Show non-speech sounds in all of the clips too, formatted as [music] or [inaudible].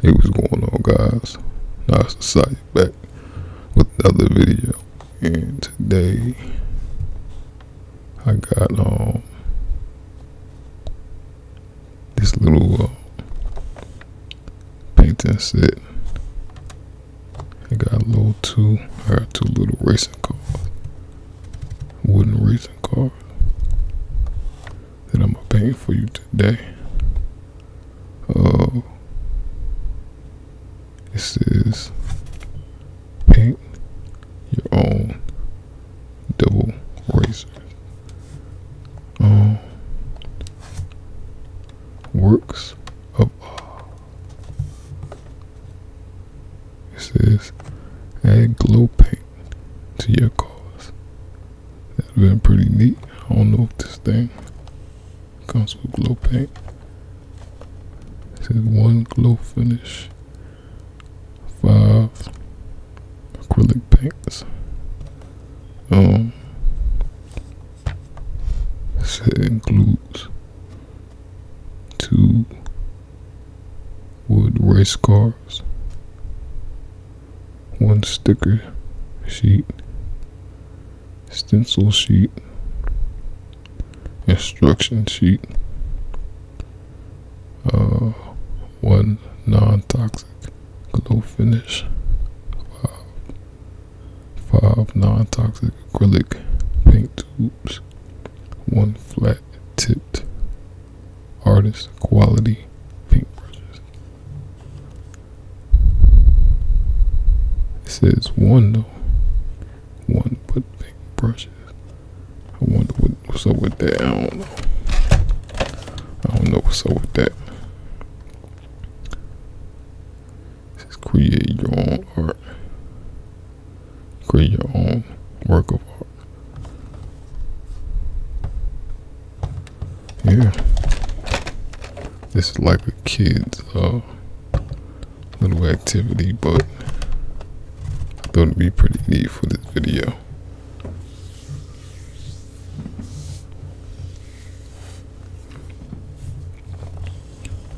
Hey, what's going on, guys? Now it's the site back with another video, and today I got um, this little uh, painting set. I got a little two, I got two little racing cars, wooden racing cars, that I'm gonna for you today. Oh, this is paint your own double razor. Um, works of This is add glow paint to your cars. That has been pretty neat. I don't know if this thing comes with glow paint. This is one glow finish. Five acrylic paints. Um, set includes two wood race car one sticker sheet, stencil sheet, instruction sheet, uh, one non toxic glue finish, five, five non toxic acrylic paint tubes, one flat tipped artist quality paintbrushes. It says one though. One but paintbrushes. I wonder what's up with that. I don't know. I don't know what's up with that. It says create your own art. Create your own work of art. Yeah, This is like a kid's uh, little activity, but I thought it'd be pretty neat for this video.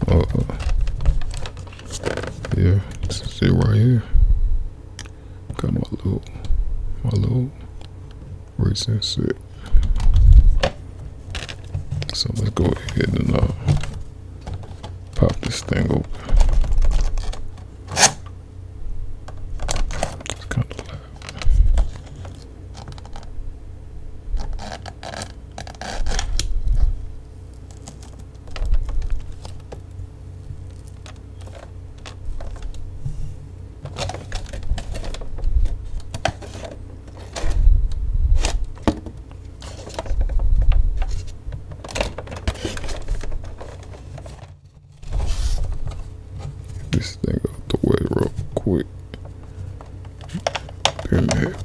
Uh, yeah, this right here. Got my little, my little racing set. So let's go ahead and uh, pop this thing open. It's kind of loud. This thing out the way real quick. Then have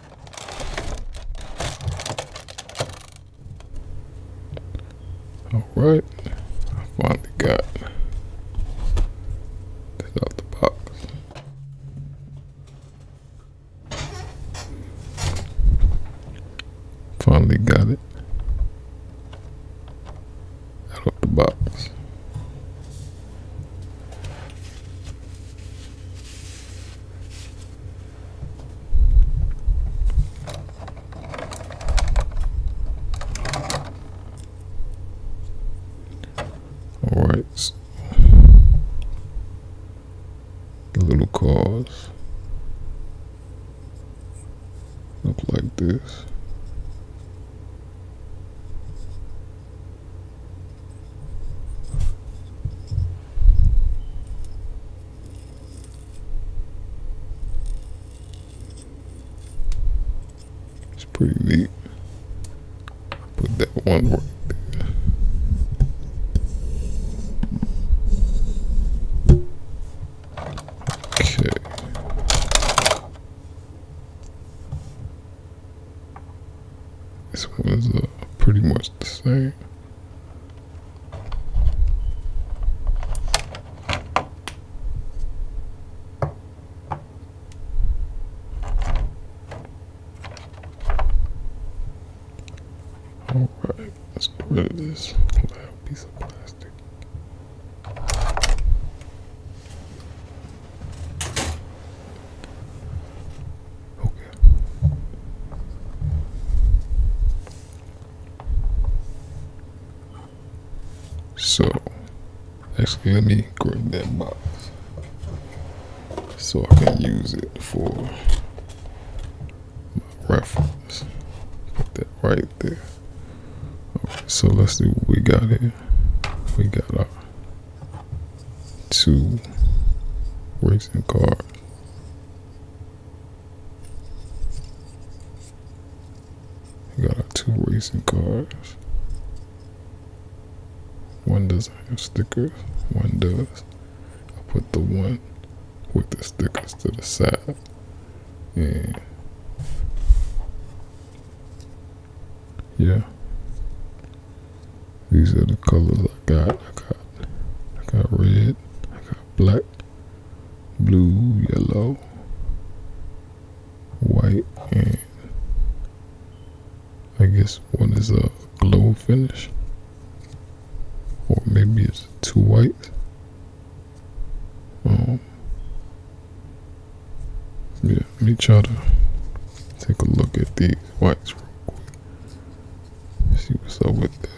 Alright, I finally got out the box. Finally got it out of the box. Alright. Little cars. Look like this. It's pretty neat. Put that one Okay. This one is uh, pretty much the same. All right, let's get rid of this piece of plastic. Okay. So, actually, let me grab that box so I can use it for reference. Put that right there. Right, so let's see what we got here. We got our two racing cards got our two racing cars. One doesn't have stickers, one does. I put the one with the stickers to the side. And yeah. These are the colors I got. I got I got red, I got black, blue, yellow, white, and I guess one is a glow finish. Or maybe it's too white. Um Yeah, let me try to take a look at these whites real quick. Let's see what's up with that.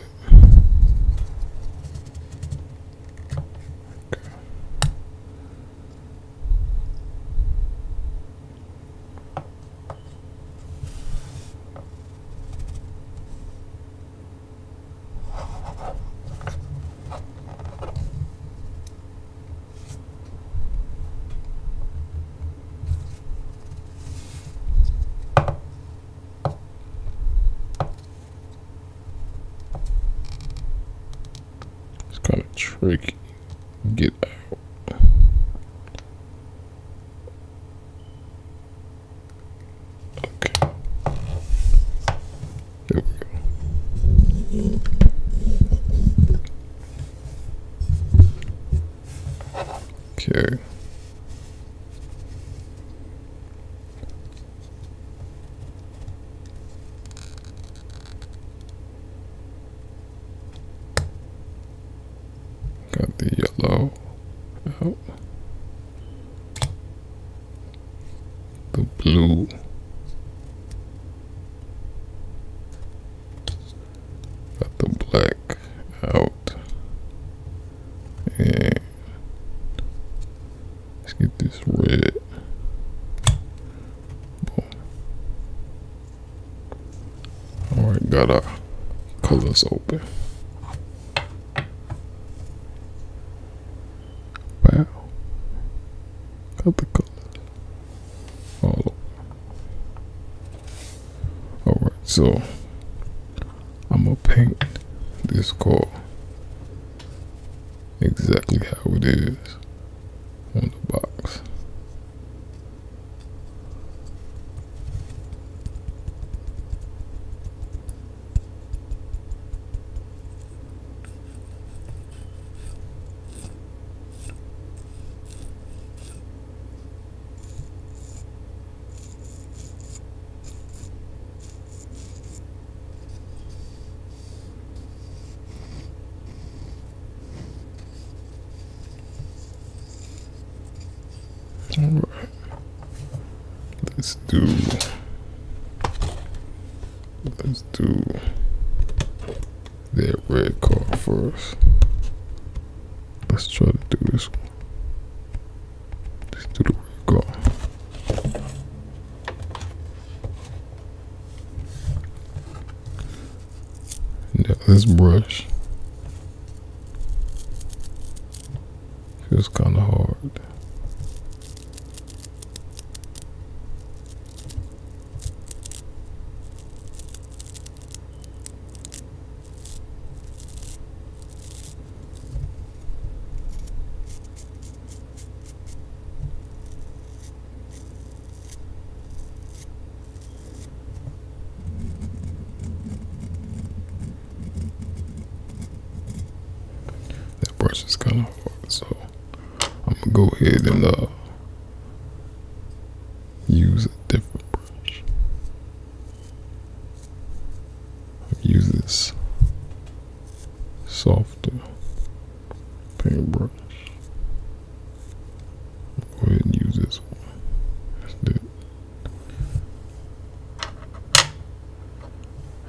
It's kind of tricky. Get out. Okay. There we go. Okay. Got the yellow Oh, The blue. Got the black out. And let's get this red. Alright, got gotta color this open. Wow. Got the colors. Alright, so I'm gonna paint this car exactly how it is on the box. Alright. Let's do let's do that red card first. Let's try to do this this brush feels kind of hard. That brush is kind of hard, so I'm gonna go ahead and uh, use a different brush use this softer paintbrush. Go ahead and use this one. That's it.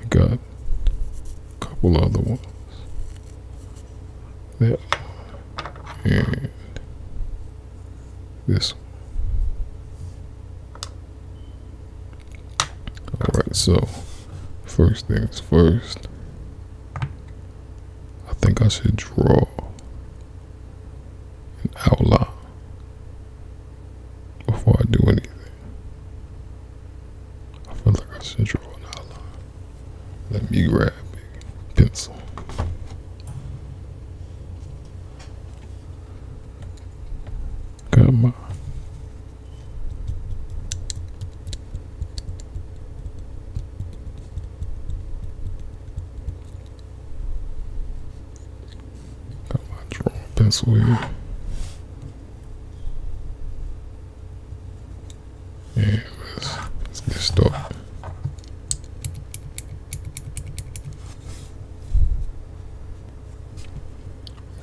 I got a couple other ones. That one. and this. Alright, so first things first, I think I should draw an outline before I do anything. I feel like I should draw an outline. Let me grab a pencil. Come on. Come on, draw a pencil here. Yeah, let's, get started.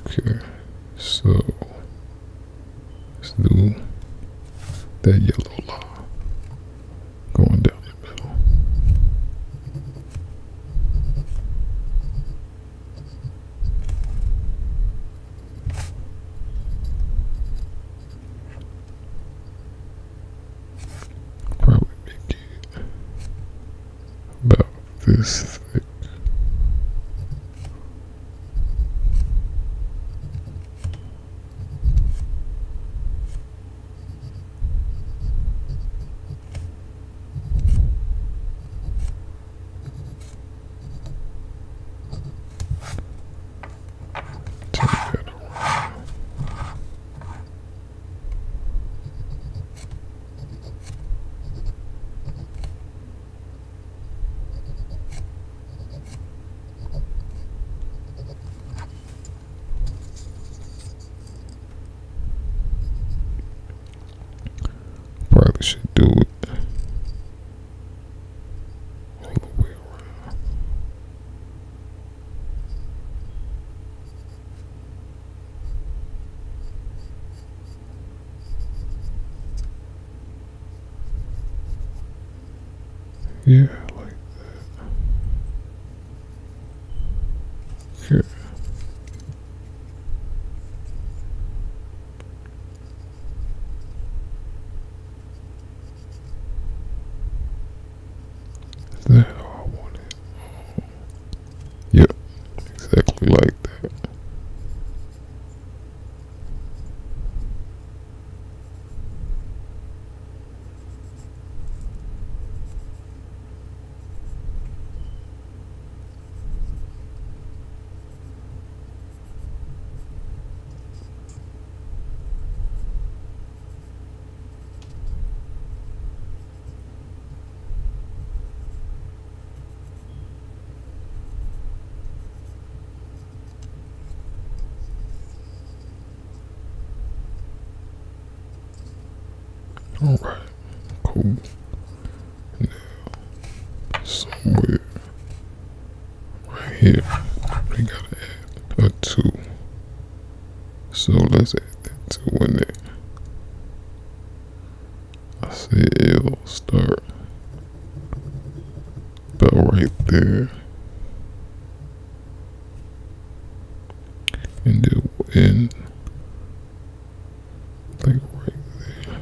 Okay, so let's do that yellow line going down the middle. Probably about this thick. Probably should do it. All the way around. Yeah, like that. Yeah. Is how I want Yep, exactly like that. All right, cool. Now, somewhere right here, they gotta add a two so let's add that to when that I say it'll start but right there. And it will like right there.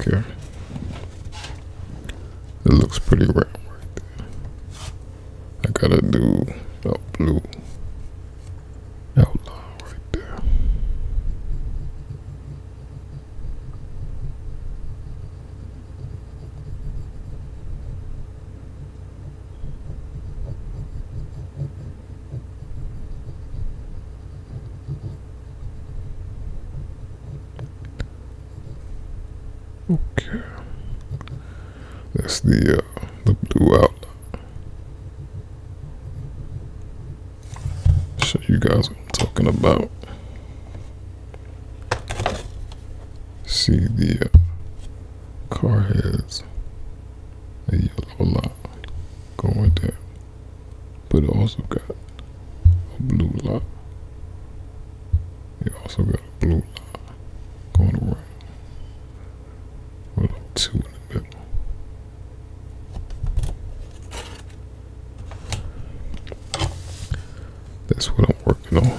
Okay. It looks pretty round right there. I gotta do a blue outline right there. Okay. That's the uh, the blue outline. Show you guys what I'm talking about. See the uh, car has a yellow line going down, but it also got a blue line. It also got a blue line going around we That's what I'm working on.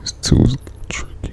This tool is tricky.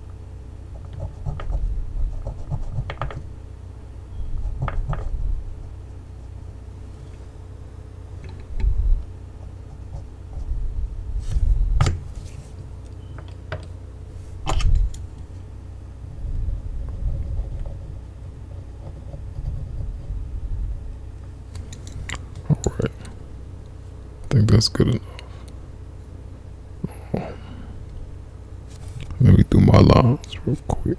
All right. I think that's good enough. Let me do my lines real quick.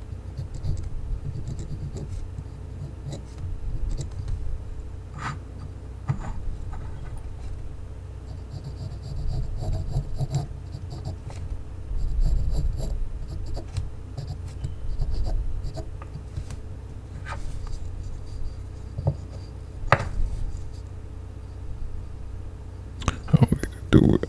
I do do it.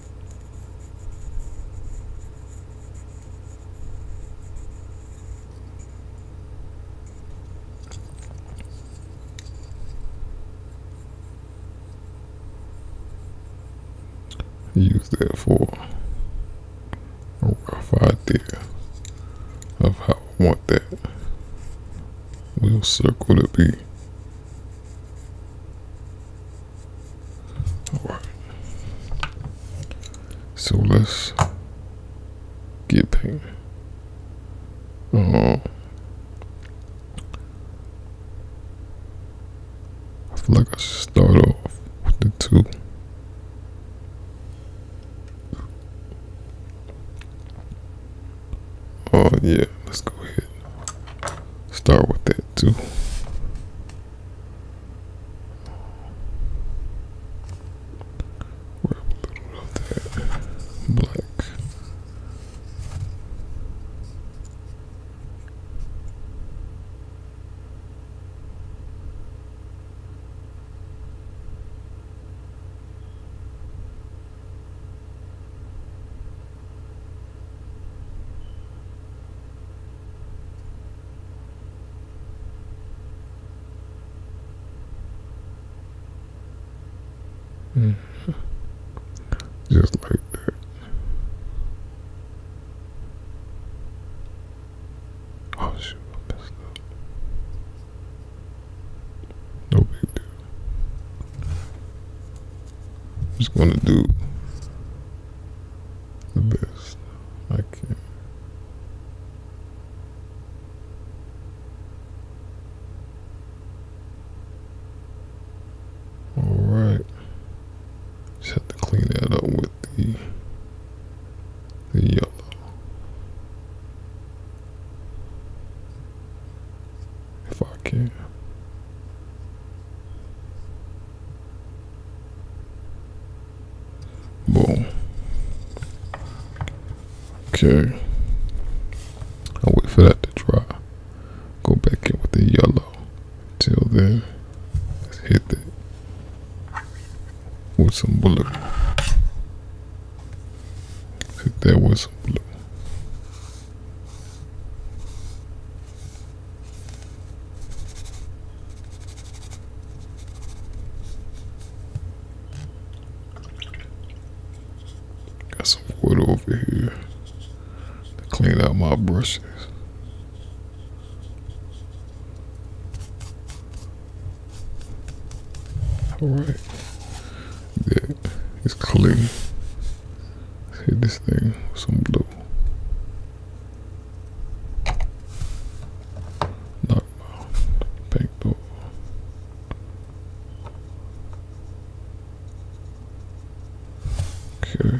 Use that for a rough idea of how I want that wheel circle to be. Alright. So let's get painted. Uh-huh. I feel like I should start off with the two. Oh yeah, let's go ahead. Start with that. Two. Grab a little of that black. Mm-hmm. [laughs] Just like that. Oh shoot, I messed up. No big deal. I'm just going to do the best I can. Alright. have to clean that up with the yellow if I can. Boom. Okay. I'll wait for that to dry. Go back in with the yellow. Till then, hit that with some blue. Hit that with some blue. Got some wood over here to clean out my brushes. All right, yeah, it's clean. Hit this thing with some blue. Knockball. Pink Okay.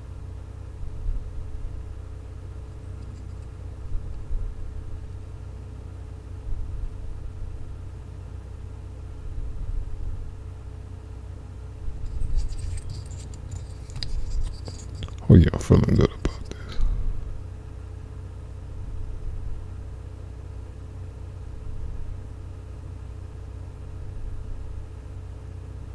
Oh yeah, I'm feeling good about this.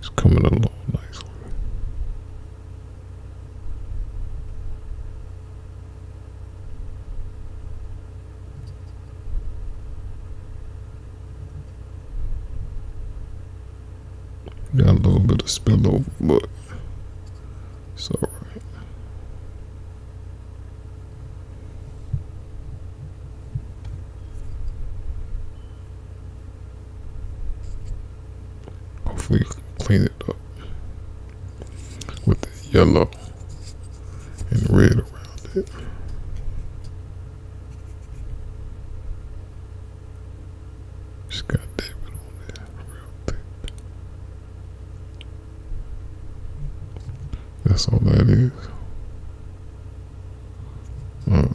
It's coming along nicely. Got a little bit of spill over, but it's Hopefully clean it up with the yellow and red around it. Just got that bit there That's all that is. Uh, yeah.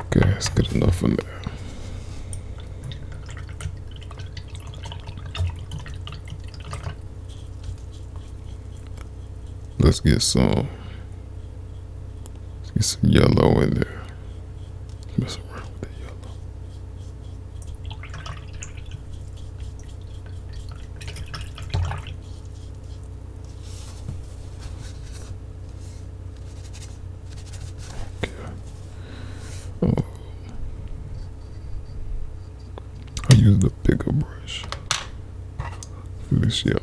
Okay, that's good enough in there. Let's get some get some yellow in there. Mess around with the yellow. Okay. Oh. I use the bigger brush for this yellow.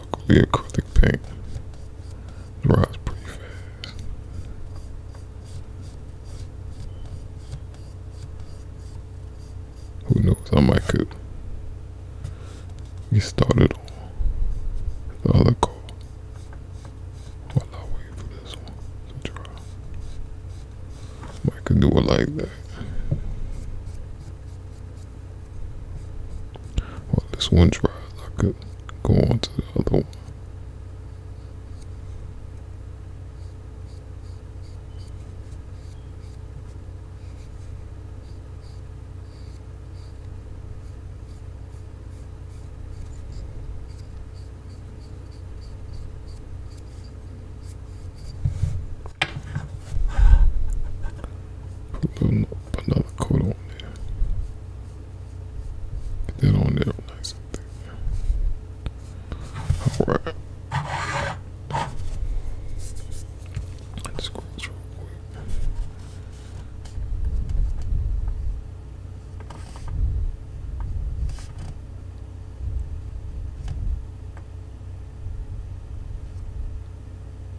Locally acrylic paint dries pretty fast. Who knows? I might could get started on the other call while I wait for this one to dry. I could do it like that. Well, this one drive, I could go on to the other one. Put a put another coat on there. Get that on there nice and thick. Alright. Let's go real quick.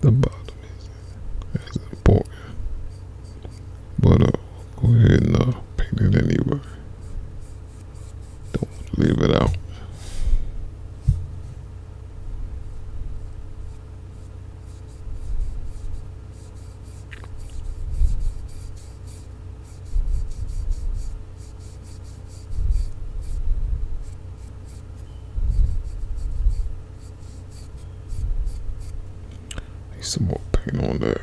The bottom is boy. But uh, go ahead and uh, paint it anyway. Don't leave it out. Need some more paint on there.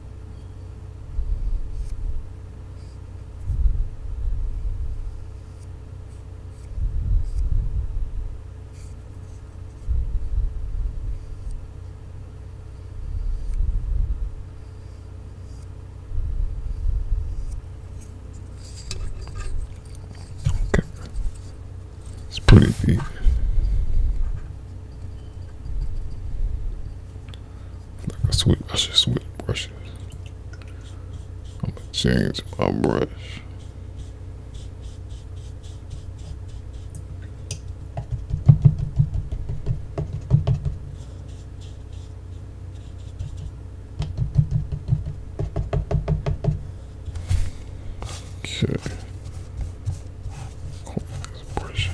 Okay. It's pretty deep. Like I switch, I should switch brushes. I'm gonna change my brush. Okay. Pull brush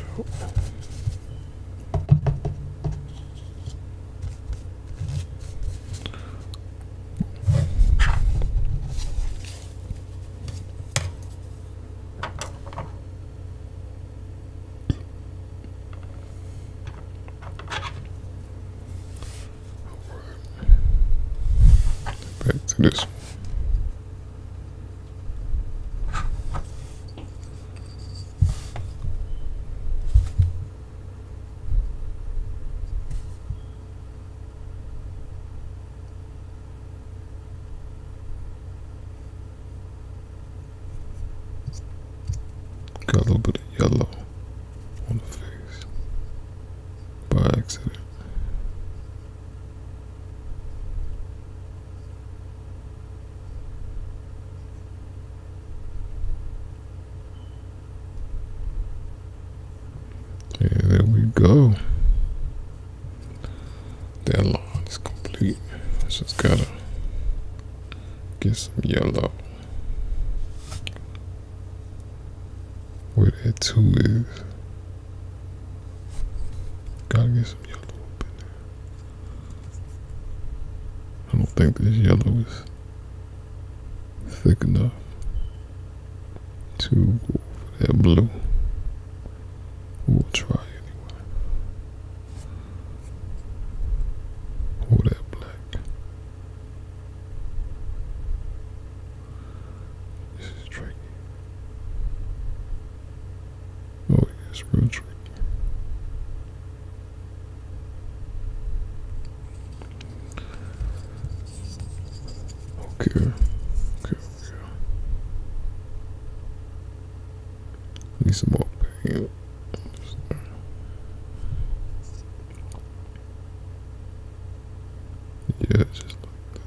Back to this. Got a little bit of yellow on the face by accident there we go. That line is complete. Just gotta get some yellow. Where that two is. Gotta get some yellow up in there. I don't think this yellow is thick enough to go for that blue. We'll try anyway. Or that black. This is tricky. Oh yeah, real tricky. Okay. Okay. Okay. Need some more Yeah, just like that.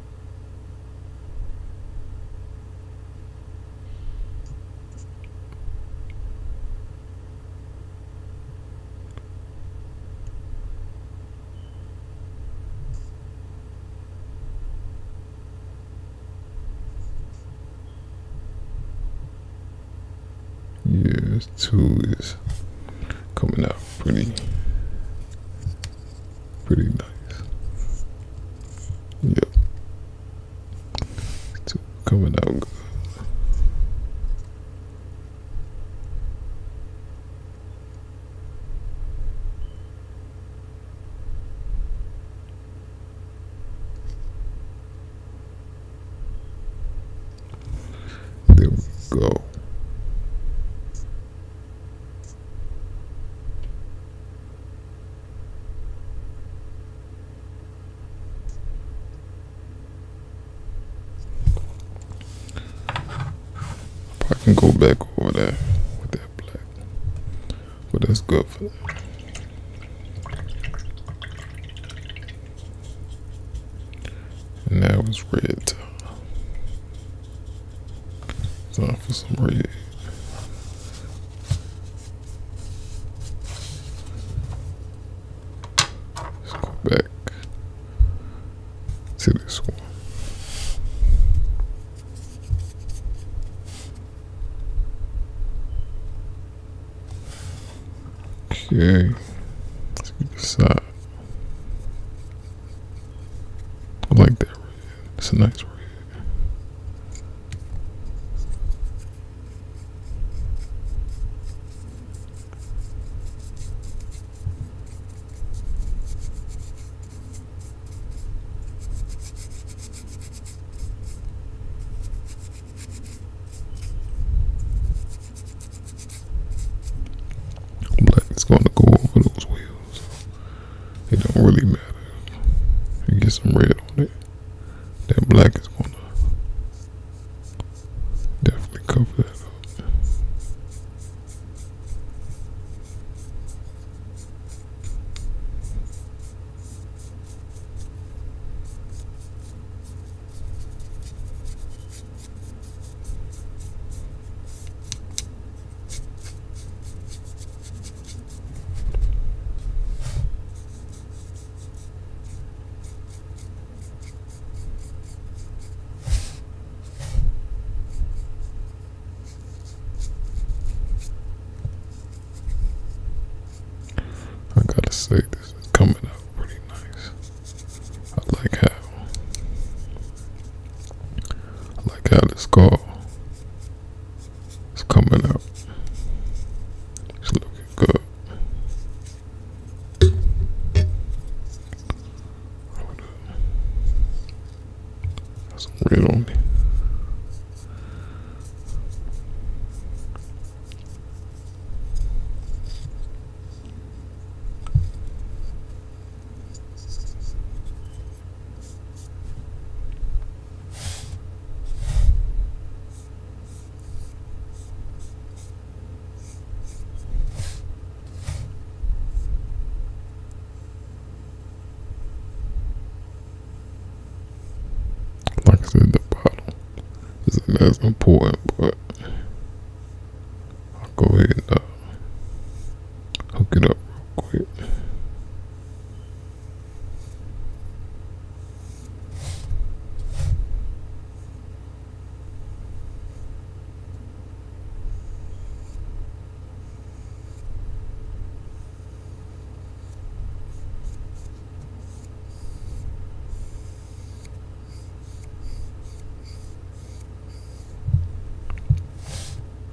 Yes, two is coming out pretty pretty nice. Yep. It's coming out good. There we go this. I can go back over there with that black, but that's good for that. And that was red. Not for some reason. Let's go back to this one. Okay, let's get this out. I like that It's a nice red. Black is going to go over those wheels it don't really matter. You get some red on it. That black is gonna definitely cover that up. I gotta say, this is coming out pretty nice. I like how I like how this car It's coming up. It's looking good. That's some red on like I said, the bottle isn't as important, but I'll go ahead and uh, hook it up real quick.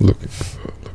Look. for, looking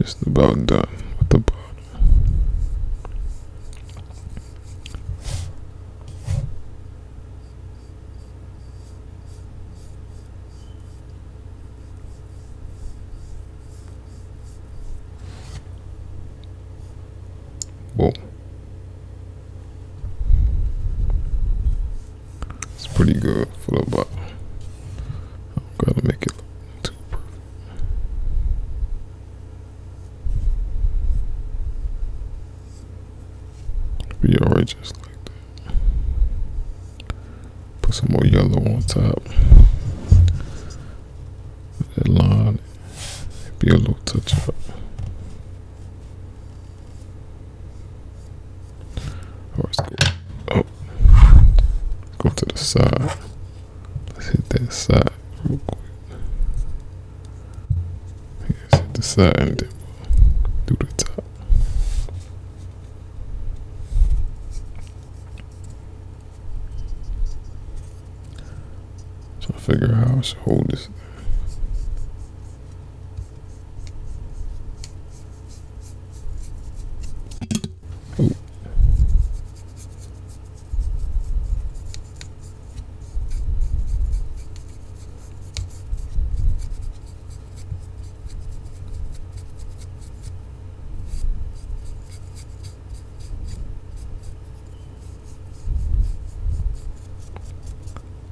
Just about done with the bottom. Whoa. It's pretty good for the bottle. I'm gonna make it look too perfect. Be alright like that. Put some more yellow on top. That line. Be a little touch up. Oh, let's go. Oh, go to the side. Let's hit that side real quick. let hit the side and do the top. So I figure out how I should hold this. Ooh.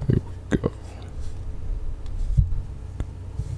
There we go.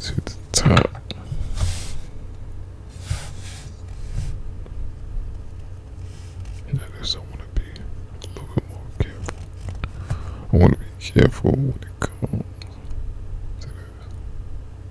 to the top. And I guess I want to be a little bit more careful. I want to be careful when it comes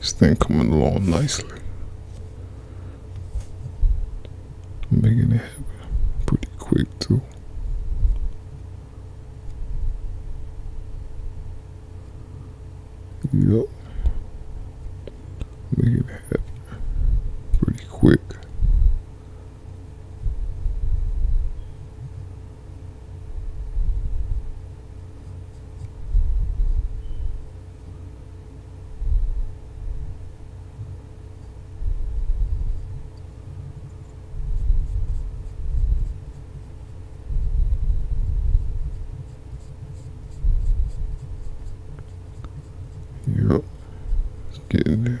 This thing coming along nicely making it happen pretty quick too. Yep. Making it happen pretty quick. Yep, let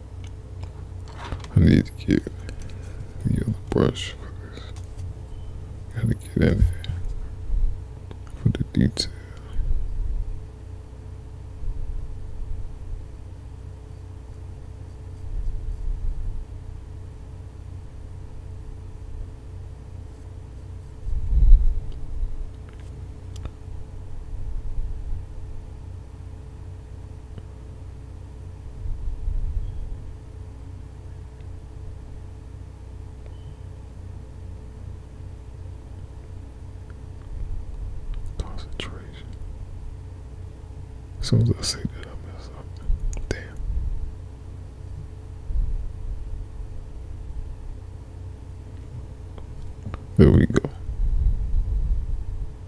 I need to get the other brush for this. Gotta get in there for the detail. Concentration. As soon as I say that, I mess up. Damn. There we go.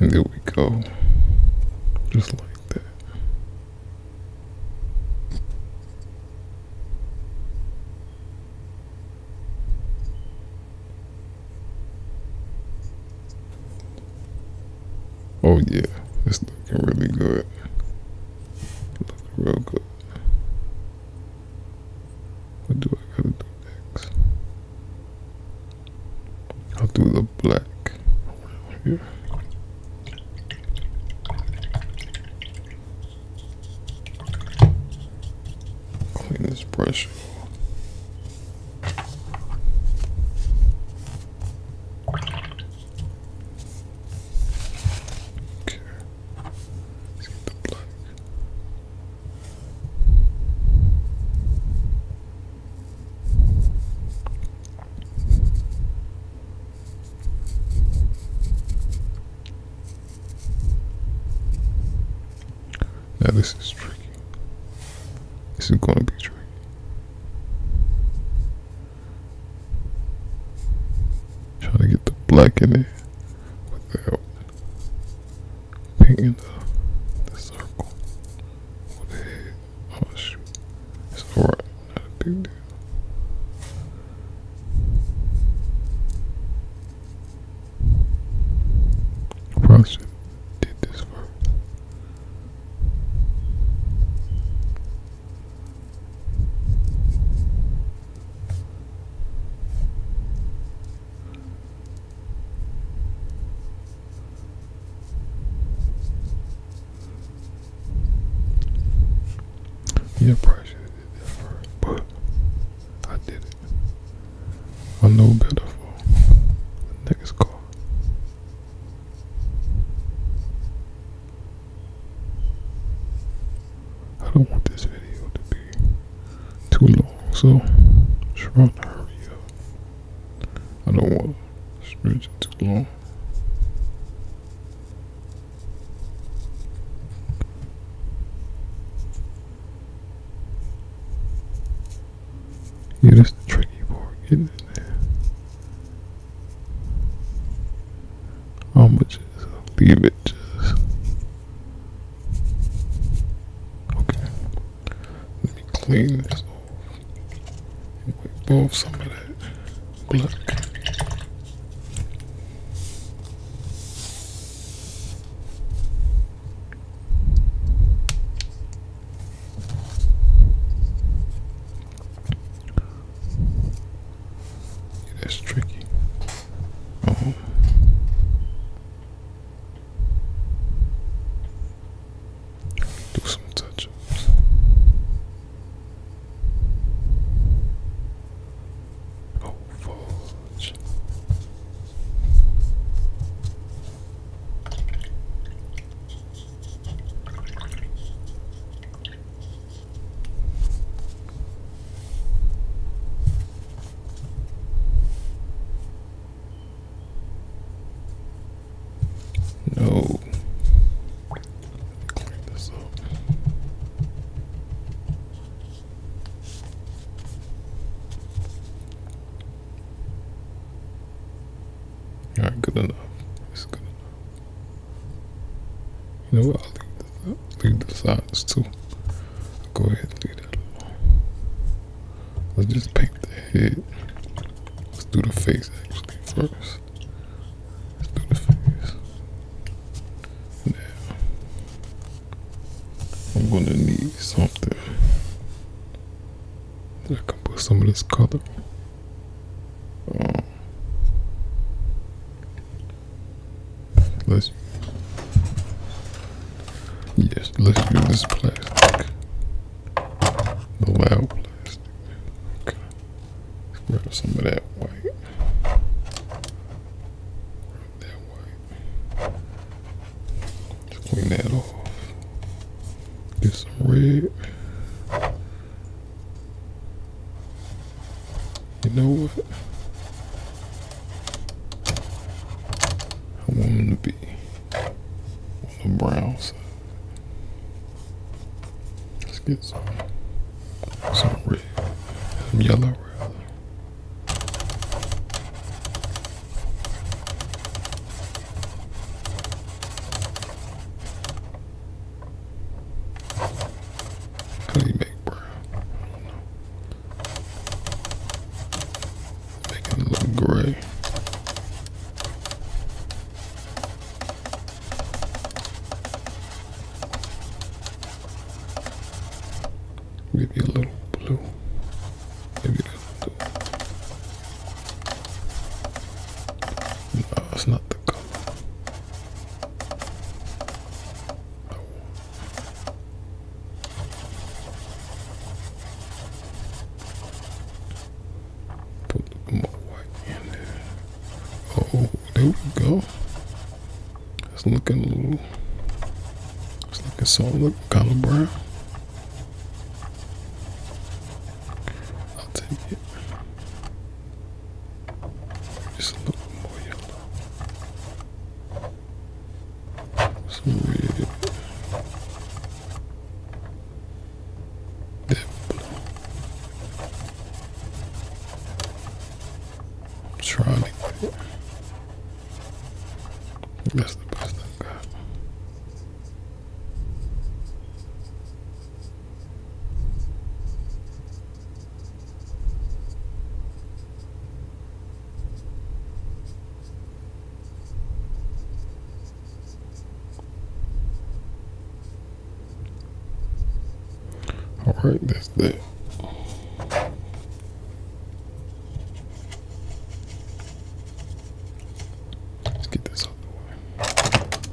And there we go. Just like that. Oh yeah, it's looking really good. Looking real good. What do I gotta do next? I'll do the black here. Clean this brush. Okay. let the black. Now this is tricky. This is going to be tricky. Trying to get the black in there without Painting the, the circle with the head. Oh shoot. It's alright, not a big deal. Probably should did this first. Yeah, probably should have did that first, but I did it. I know better for next call. I don't want this video to be too long, so I'm trying to hurry up. I don't want to stretch it too long. Yeah, that's the tricky part, getting in there. I'm gonna just leave it just Okay. Let me clean this off and wipe some of that black. that's tricky. Uh Do some touch ups. Oh, fudge. No. this up. All right, good enough. It's good enough. You know what? I'll leave this out. Leave the sides too. Go ahead, Let's just paint the head. Let's do the face actually first. Let's do the face. I'm gonna need something that I can put some of this color Let's yes, let's use this plastic. The loud plastic. Okay. let some of that white. that white. clean that off. Get some red. You know what? I want them to be on the brown Let's get some, some red, some yellow How do you make brown? Make it look gray. Maybe a little blue. Maybe that's blue. No, it's not the color. Put more white in there. Oh, there we go. It's looking a little. It's looking so look kind of brown. I'll take it. Just a more yellow. Sweet. I'm trying to get it. That's the best I got. All right, that's that. Let's get this out the way.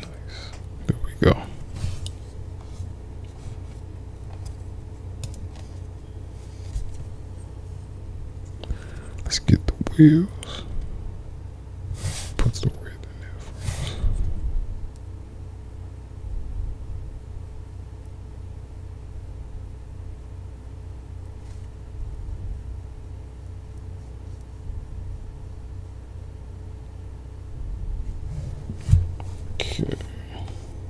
Nice. There we go. Let's get the wheels. Put the red in there first. Okay.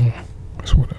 Hmm, it's whatever.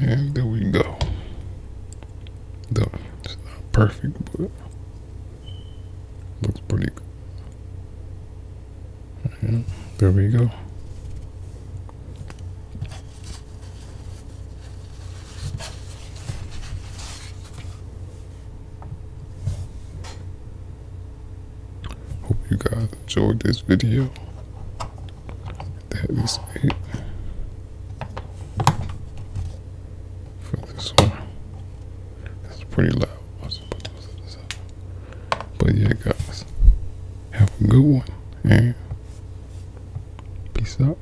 And there we go. Though it's not perfect, but looks pretty good. there we go. Hope you guys enjoyed this video. That is it for this one. It's pretty loud. But yeah, guys, have a good one and peace out.